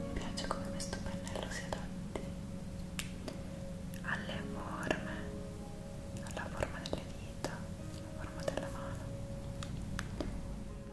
Mi piace come questo pennello si adatti alle forme, alla forma delle dita, alla forma della mano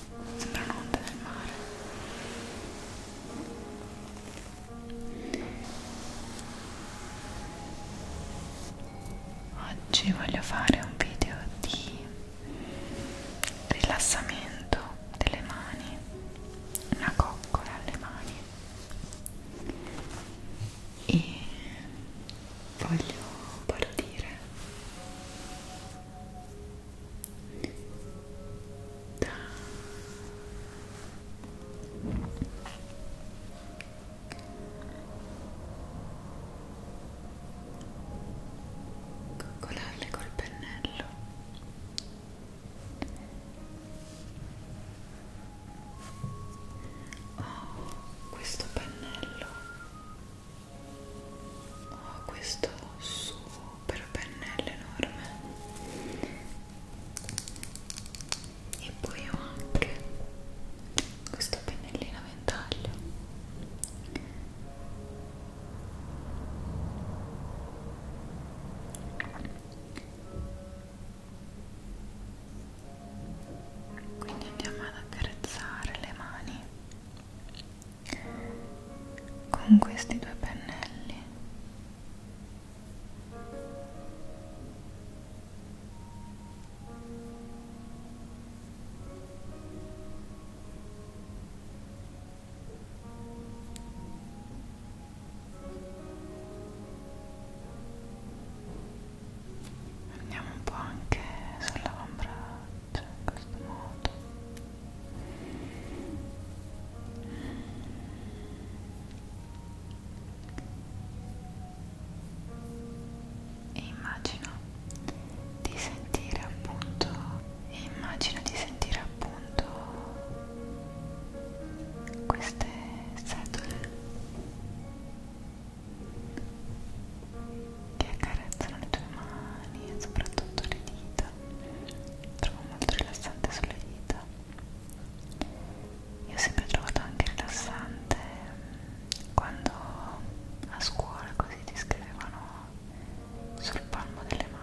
sembrano onde del mare oggi voglio fare un video di rilassamento delle mani una coccola alle mani e voglio partire coccolarle col pennello oh questo pennello ho ah, questo super pennello enorme e poi ho anche questo pennellino a ventaglio quindi andiamo ad accarezzare le mani con questi due pennelli andiamo un po' anche sull'avambraccio cioè in questo modo e immagino di sentire appunto e immagino di sentire appunto queste setole che accarezzano le tue mani e soprattutto le dita trovo molto rilassante sulle dita io ho sempre trovato anche rilassante mm, quando a scuola così ti scrivevano sul palmo delle mani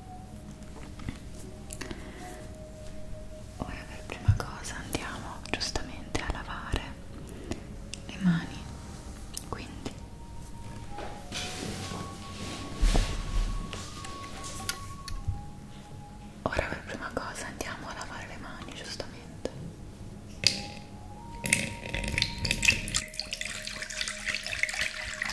ora per prima cosa andiamo giustamente a lavare le mani quindi ora per prima cosa andiamo a lavare le mani giustamente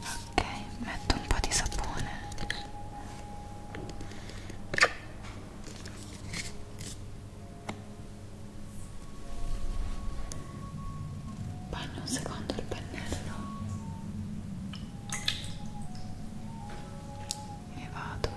Ok, metto un po' di sapone Bagno un secondo il pennello e vado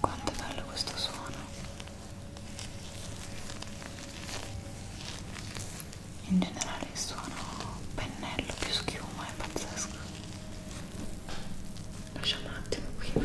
Quanto è bello questo suono. In generale il suono pennello più schiuma è pazzesco. Lasciamo un attimo qui.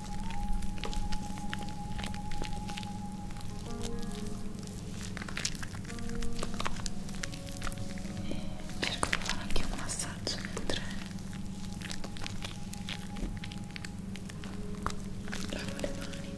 e cerco di fare anche un massaggio mentre lavo le mani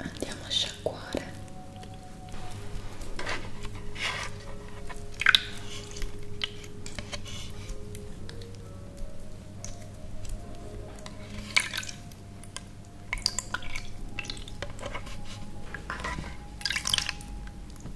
andiamo a sciacquare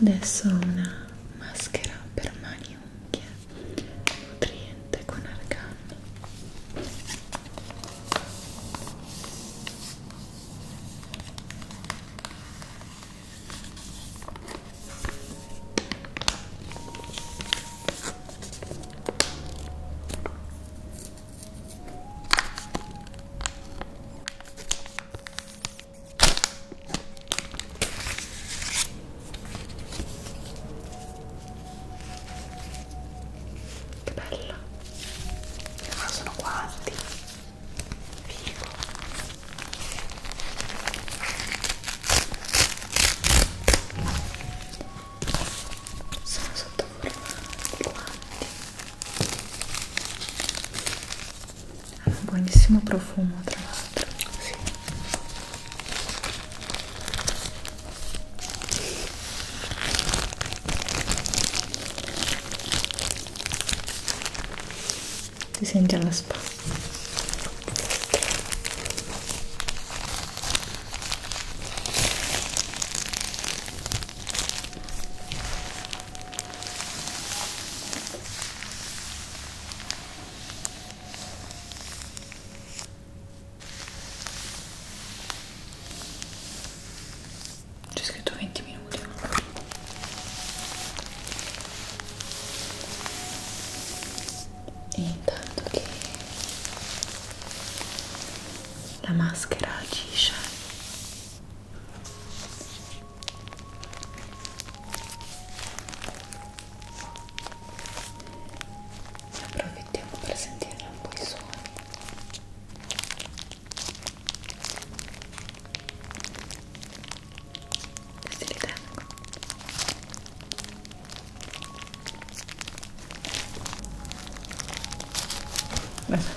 adesso una maschera per mani y unghie nutriente con argan Che bella! Ma sono quanti? Figo! Sono sotto forma di guanti ha un buonissimo profumo tra l'altro sì. ti senti alla spa c'è scritto 20 minuti. E intanto che la maschera agisce approfittiamo per sentire un po' i suoni questi li tengo Bene.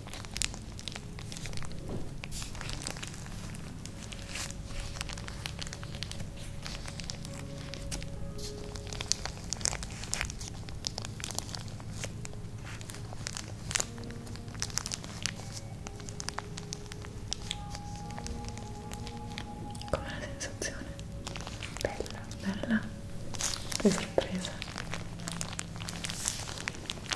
Com'è la sensazione? Bella, bella, che sorpresa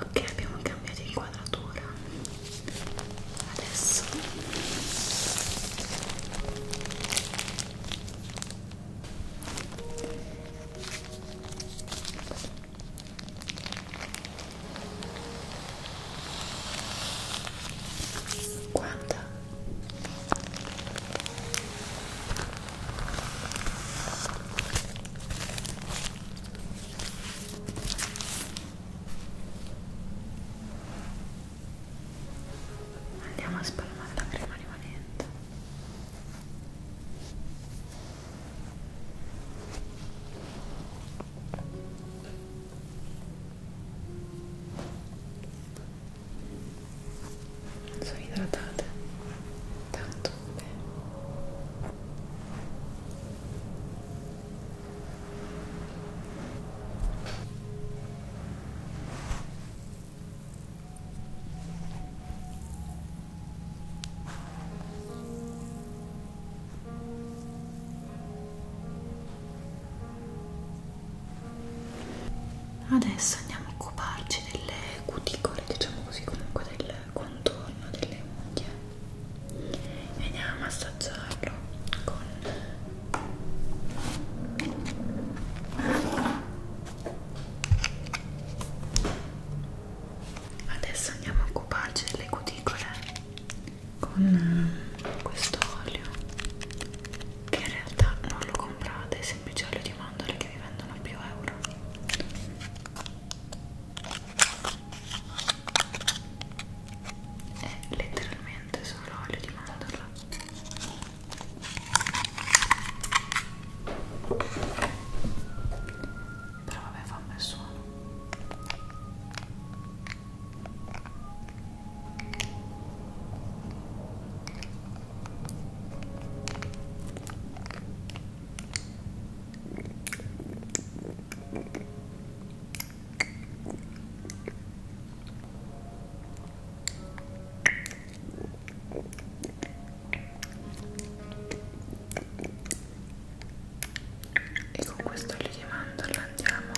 ok abbiamo cambiato inquadratura adesso guarda Andiamo a spalmare la crema rimanente. Sono idratate, tanto zampe Adesso andiamo a occuparci delle cuticole, diciamo così, comunque del contorno delle unghie e andiamo a massaggiarlo con adesso andiamo a occuparci delle cuticole con eh, questo olio che in realtà non lo comprate è semplice olio di mandorle che vi vendono a più euro è eh, letteralmente solo olio di mandorla però vabbè fa un bel suono e con questo olio di mandorla andiamo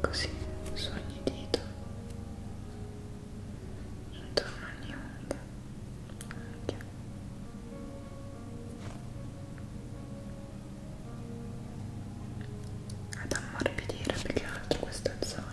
Così su ogni dito intorno ogni onda. Okay. Ad ammorbidire più che altro questa zona.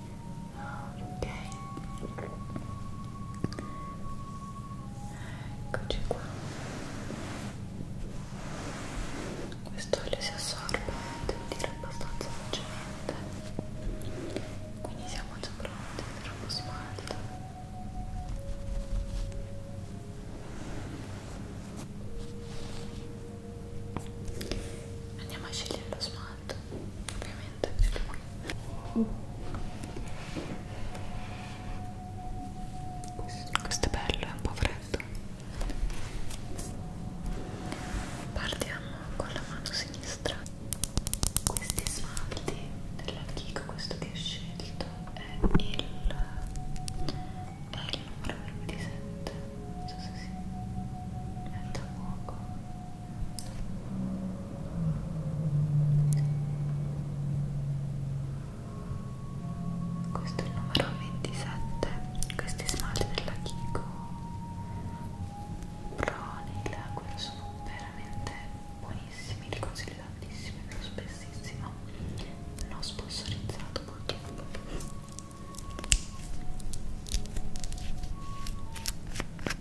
ok eccoci qua questo olio si assorbe devo dire abbastanza velocemente quindi siamo già pronti per uno smalto andiamo a scegliere lo smalto detto ovviamente questo è bello, è un po' freddo partiamo con la mano sinistra questi smalti della Kiko, questo che ho scelto è il è il numero 27 non so se si mette a fuoco questo è il numero 27 questi smalti della Kiko Proni, quello sono veramente buonissimi li consiglio tantissimo lo spessissimo non sponsorizzato purtroppo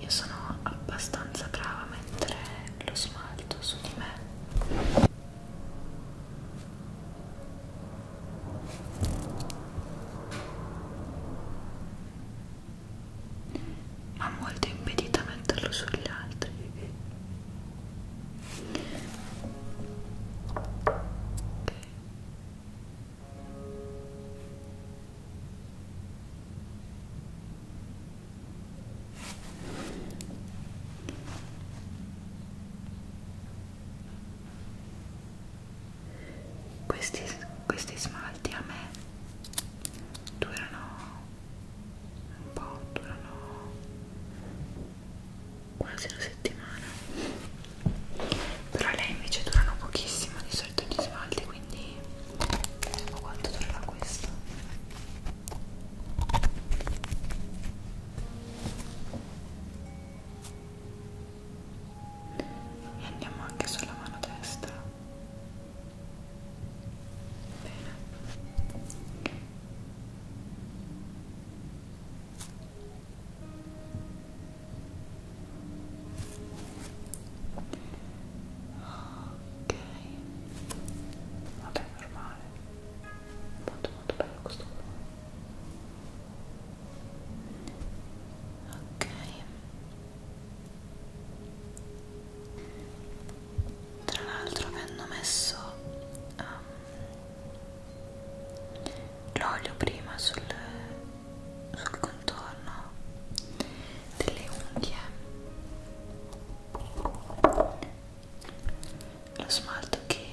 Io sono abbastanza brava a mettere lo smalto su di me ma molto impedita a metterlo sugli altri okay questi, questi smalti a me durano un po', durano quasi una settimana però lei invece durano pochissimo di solito gli smalti quindi vediamo quanto durerà questo e andiamo anche sulla mano destra bene ok vabbè normale molto molto bello questo colore ok tra l'altro mi hanno messo um, l'olio prima sul, sul contorno delle unghie lo smalto che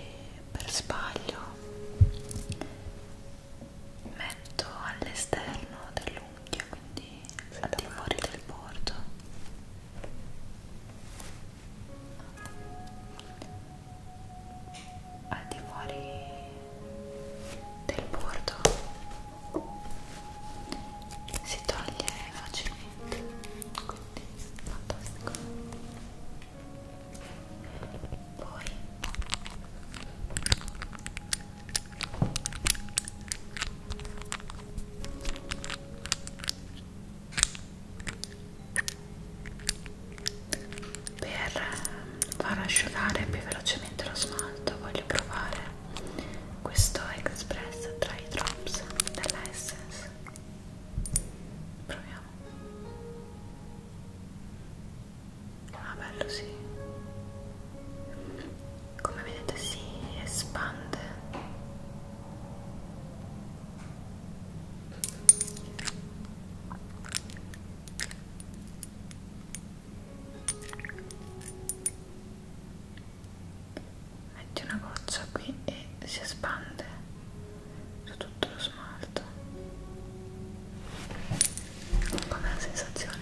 per sbaglio metto all'esterno dell'unghia quindi al di fuori del bordo al di fuori del bordo si toglie facilmente quindi fantastico poi per far asciugare più velocemente lo smalto voglio provare questo Express Dry Drops della Essence proviamo Ah bello sì. Come vedete si espande. Metti una goccia qui e si espande su tutto lo smalto. Com'è la sensazione?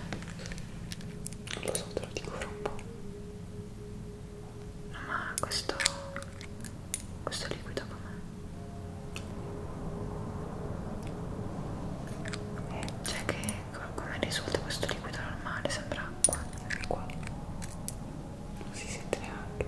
Non lo so, te lo dico fra un po'. No, ma questo... questo liquido com'è? Eh, cioè che come risulta questo liquido normale? Sembra acqua. Acqua. Non si sente neanche.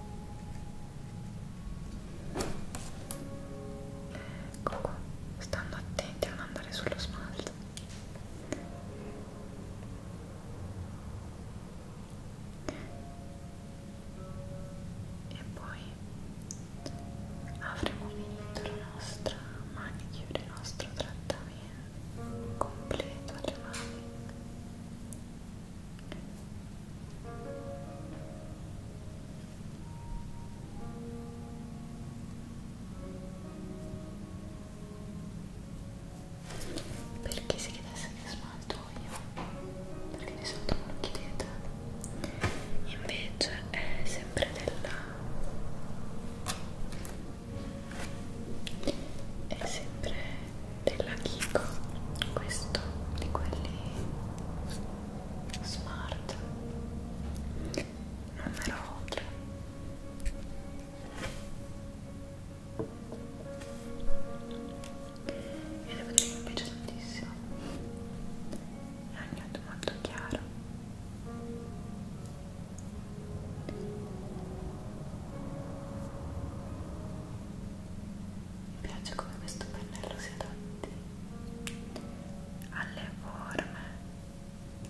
ecco qua stando attenti a non andare sullo smalto e poi avremo finito la nostra manicure, il nostro trattamento completo alle mani perché si chiedesse che smalto io perché di solito non lo chiedete invece è sempre della è sempre della Kiko questo di quelli smart numero 3 e devo dire che mi piace tantissimo è un nudo molto chiaro mi piace come questo pennello si adatti alle forme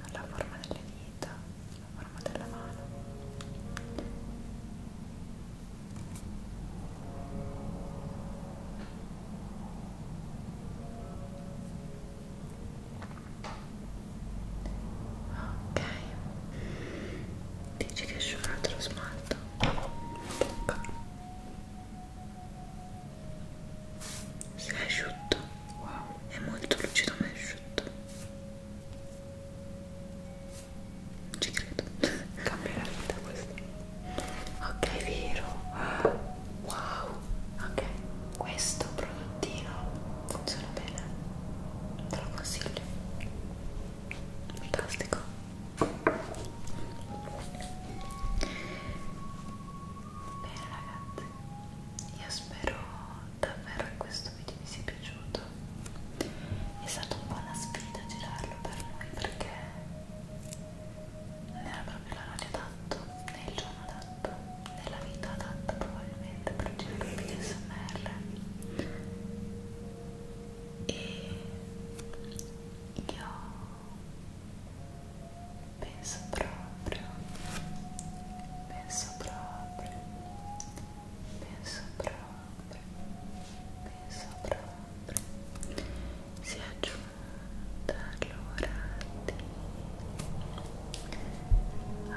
alla forma delle dita alla forma della mano ok Dici che esce un altro smalto? Bocca. Si è asciutto. Wow. È molto lucido ma è asciutto. Non ci credo. Cambia la vita questo. Ok, vero. Wow. Ok, questo prodottino funziona bene. Te lo consiglio fantastico bene ragazzi io spero davvero che questo video vi sia piaciuto è stata un po' una sfida girarlo per noi perché non era proprio l'orario adatto né il giorno adatto né la vita adatta probabilmente ovviamente progetto PSMR e io penso proprio penso proprio penso proprio penso proprio si è giunta l'ora di abbassare ah, ah.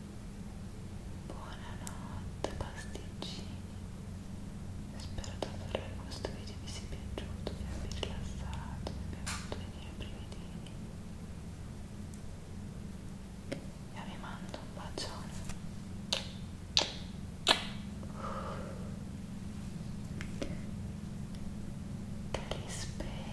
Buonanotte pasticcini Spero davvero che questo video vi sia piaciuto, vi abbia rilassato, vi abbia fatto venire brividini Io vi mando un bacione Te li spero